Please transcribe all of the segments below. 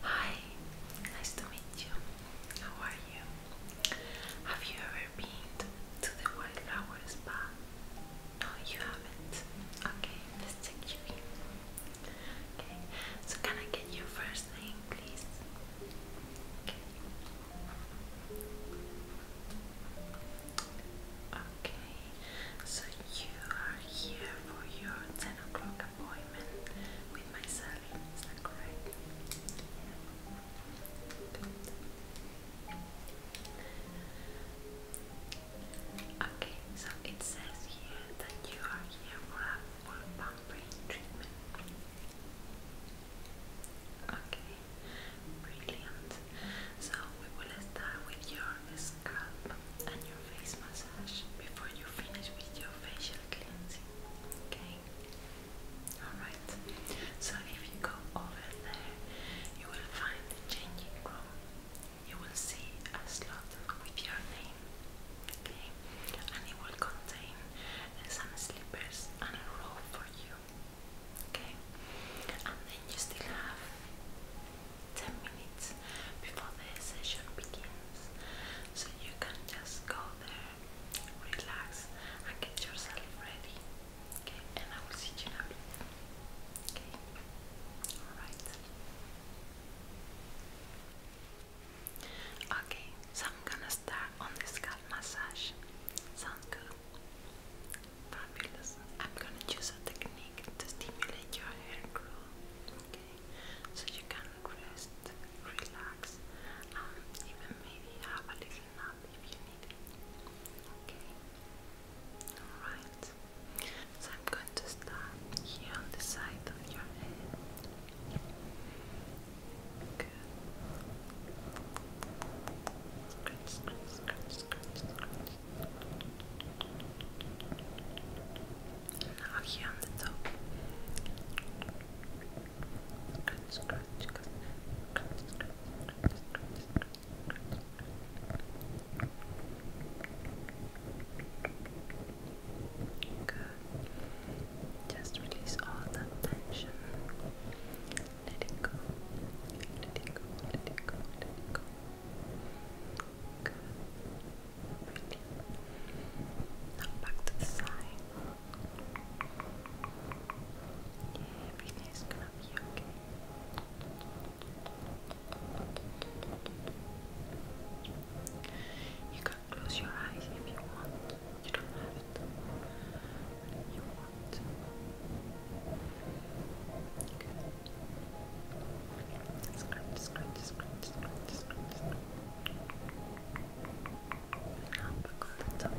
Hi, nice to meet you. How are you? Have you ever been to the Wildflower Spa? No, you haven't. Okay, let's check you in. Okay, so can I get your first name, please? Okay. Okay, so you are here for your 10 o'clock appointment with my correct? Okay, so it says here that you are here for a full pump treatment. Okay, brilliant. So we will start with your scalp and your face massage before you finish with your facial cleansing. Okay? Alright. So if you go over there, you will find the changing room. You will see a slot with your name. Okay? And it will contain some slippers and a robe for you okay and then you still have 10 minutes before the session begins so you can just go there relax and get yourself ready okay and I will see you in okay alright okay so I'm gonna start on the scalp massage. Sound good? Fabulous. I'm gonna use a technique to stimulate your hair growth. Okay, so you can rest, relax, um, even maybe have a little nap if you need it. Okay. Alright. So I'm going to start here on the side of your head. Just release all the tension. Let go. Let go. Let go. Let go. Now back to the side. Yeah, everything gonna be okay. You can close your eyes if you want. You don't have it. you want. Okay. Scratch, scratch, scratch, scratch, scratch, scratch. Up on the top.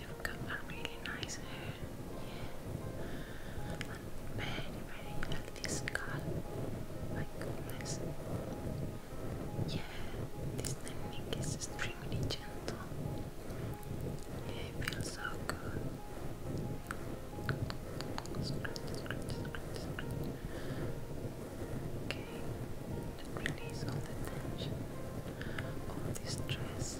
You've got a really nice hair and very, very healthy scalp. My goodness. Yeah, this technique is extremely gentle. Yeah, it feels so good. Okay, release all the tension, all the stress.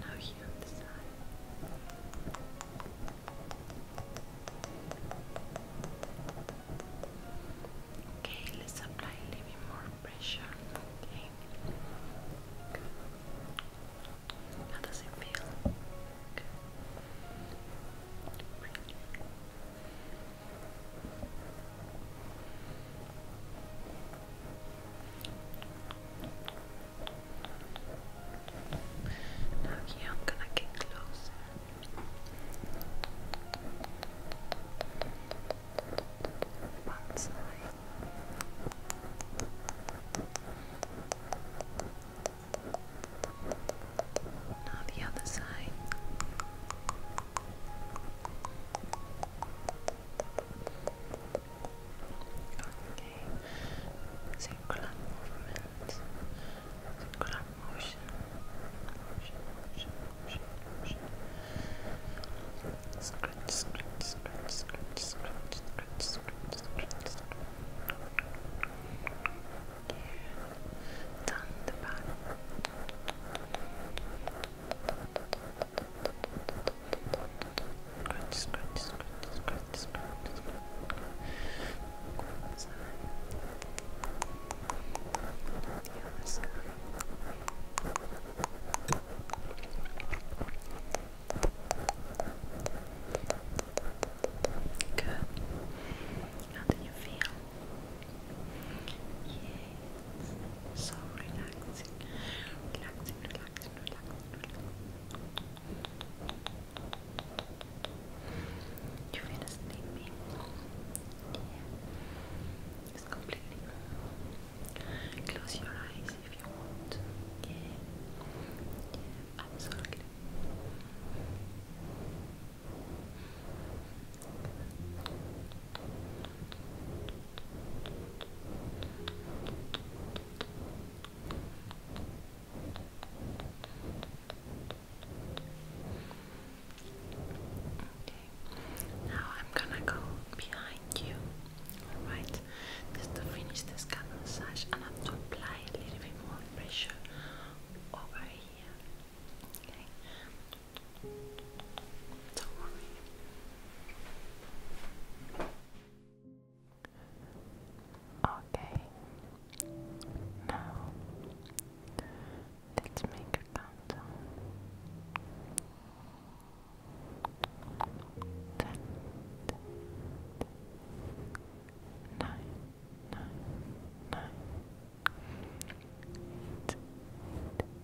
Now here Okay, let's apply a little more pressure. Okay. How does it feel? Now here I'm gonna get closer. One side. Now the other side. Okay. Circular movement. Circular motion. Motion, motion, motion, motion. Scratch, scratch, scratch, scratch, scratch, scratch, scratch, scratch, scratch. Here. Down the back. Scratch, Good. How do you feel? Yes. So Relaxing, relaxing, relax, relax, relax. You feel sleepy? Yeah. It's completely Close your eyes if you want. Yeah. Yeah, absolutely now I'm gonna go behind you, alright, just to finish the scalp massage and I'm to apply a little bit more pressure over here, okay? Okay, now let's make a countdown. Ten, ten, ten, nine, nine, nine, eight, eight,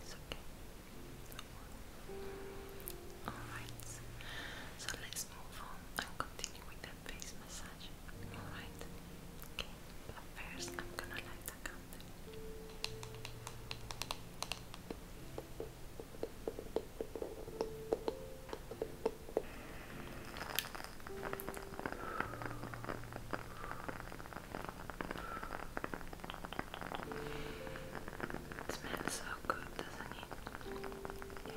It's okay. Alright, so let's move on and continue with the face massage. Alright, okay, but first I'm gonna light the candle. It smells so good, doesn't it?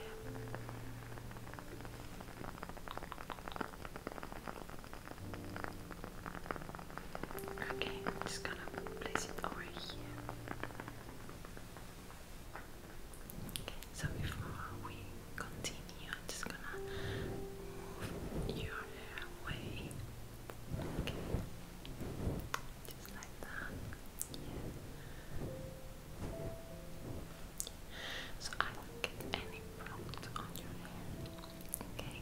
Okay, I'm just gonna place it over here. Okay, so before we continue, I'm just gonna move your hair away. Okay. So I don't get any product on your hair. Okay.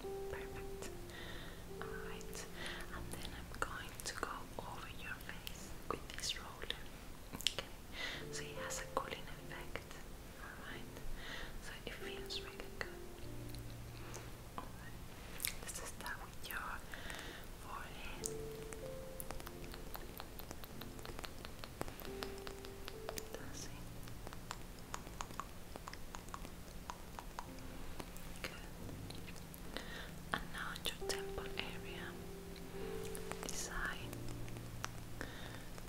Perfect. Alright. And then I'm going to go over your face with this roller. Okay, so it has a cooling effect. Alright, so it feels really good. Alright, let's start with your forehead. That's And now your temple area. This side.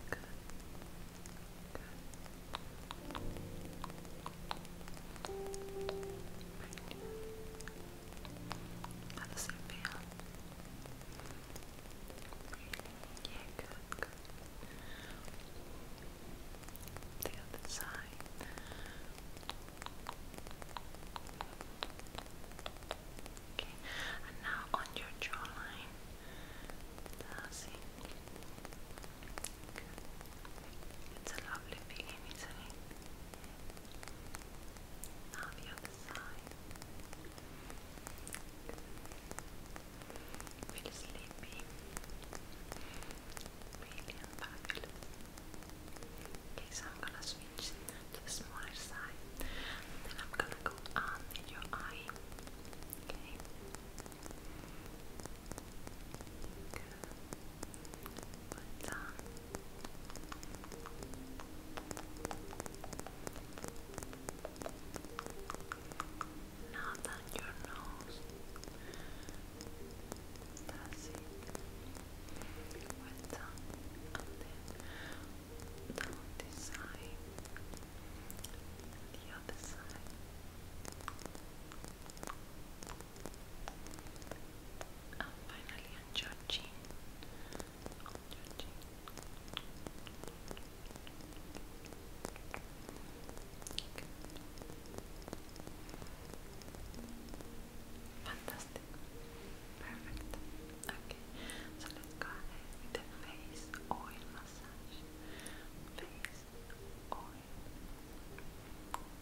Good. Good. How does it feel? Yeah, good, good. The other side. Okay, and now on your jawline. That's it. It's a lovely feeling, Now the other side. Feel sleepy. Really fabulous. Okay, so I'm gonna switch using that the smaller side. then I'm gonna go under your eye. Okay. Good. But, um, now that your nose that's it with tongue and then down this side and the other side. And finally I'm judging. I'm judging. Good. Fantastic. Perfect. Okay, so the face oil massage. Face oil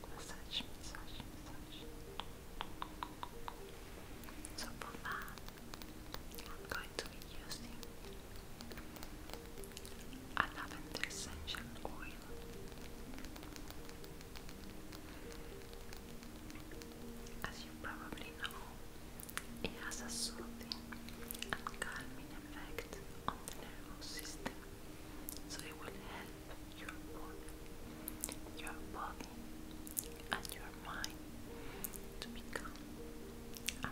massage, massage, massage. So for that, I'm going to be using lavender essential oil. As you probably know, it has a soothing and calming effect on the nervous system, so it will help your body, your body and your mind to become and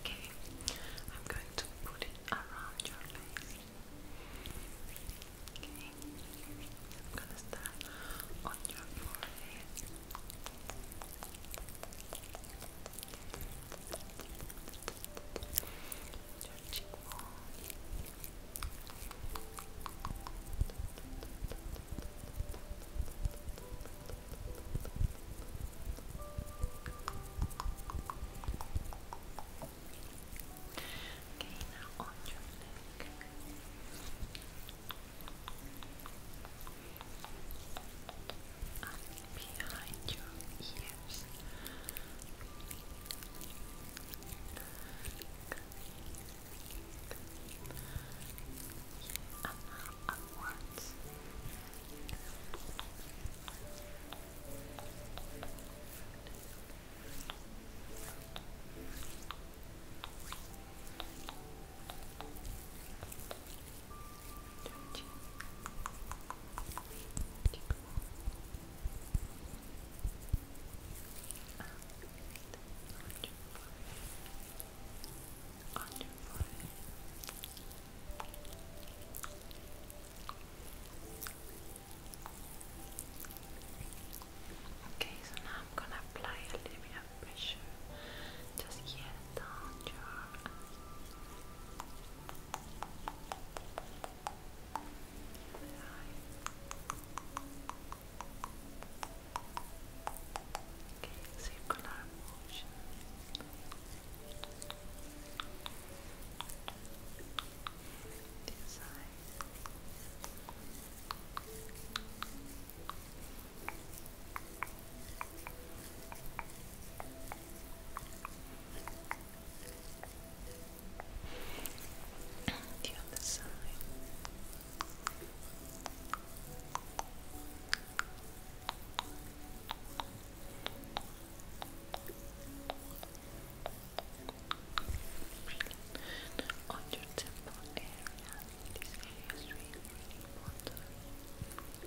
Okay, I'm going to put it around your face. Okay, I'm gonna start on your forehead. Your cheekbone. Okay, now on your neck. And behind your ears amount of words. Thank you on your Okay, so now I'm gonna apply a little bit of pressure just here down your Okay, circular motion. This side. The other side. On your temple area, this area is really, really important. Good.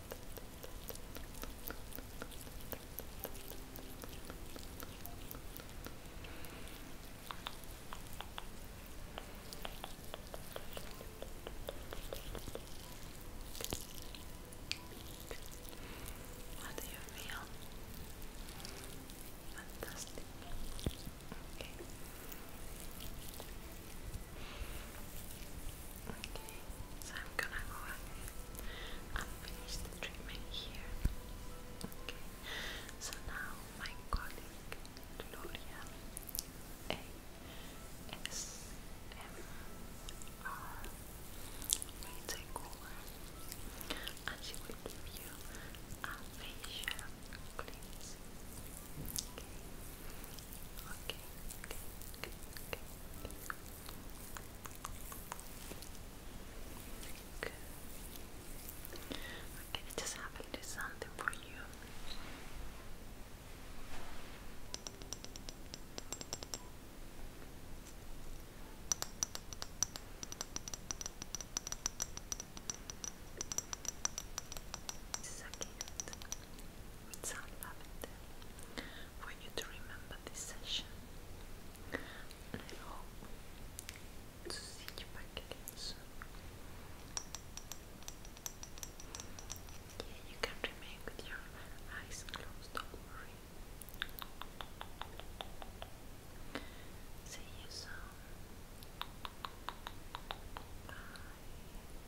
How do you feel? Fantastic. Okay. Okay, so I'm gonna go ahead and finish the treatment here. Okay, so now my colleague Gloria A S M R will take over and she will give you a facial cleanse. Okay, okay, okay, okay. Good. Okay, I just have a something for you. This with some for you to remember this session. I hope to see you back again soon. Yeah, you can remain with your eyes closed, don't worry. See you soon. Bye.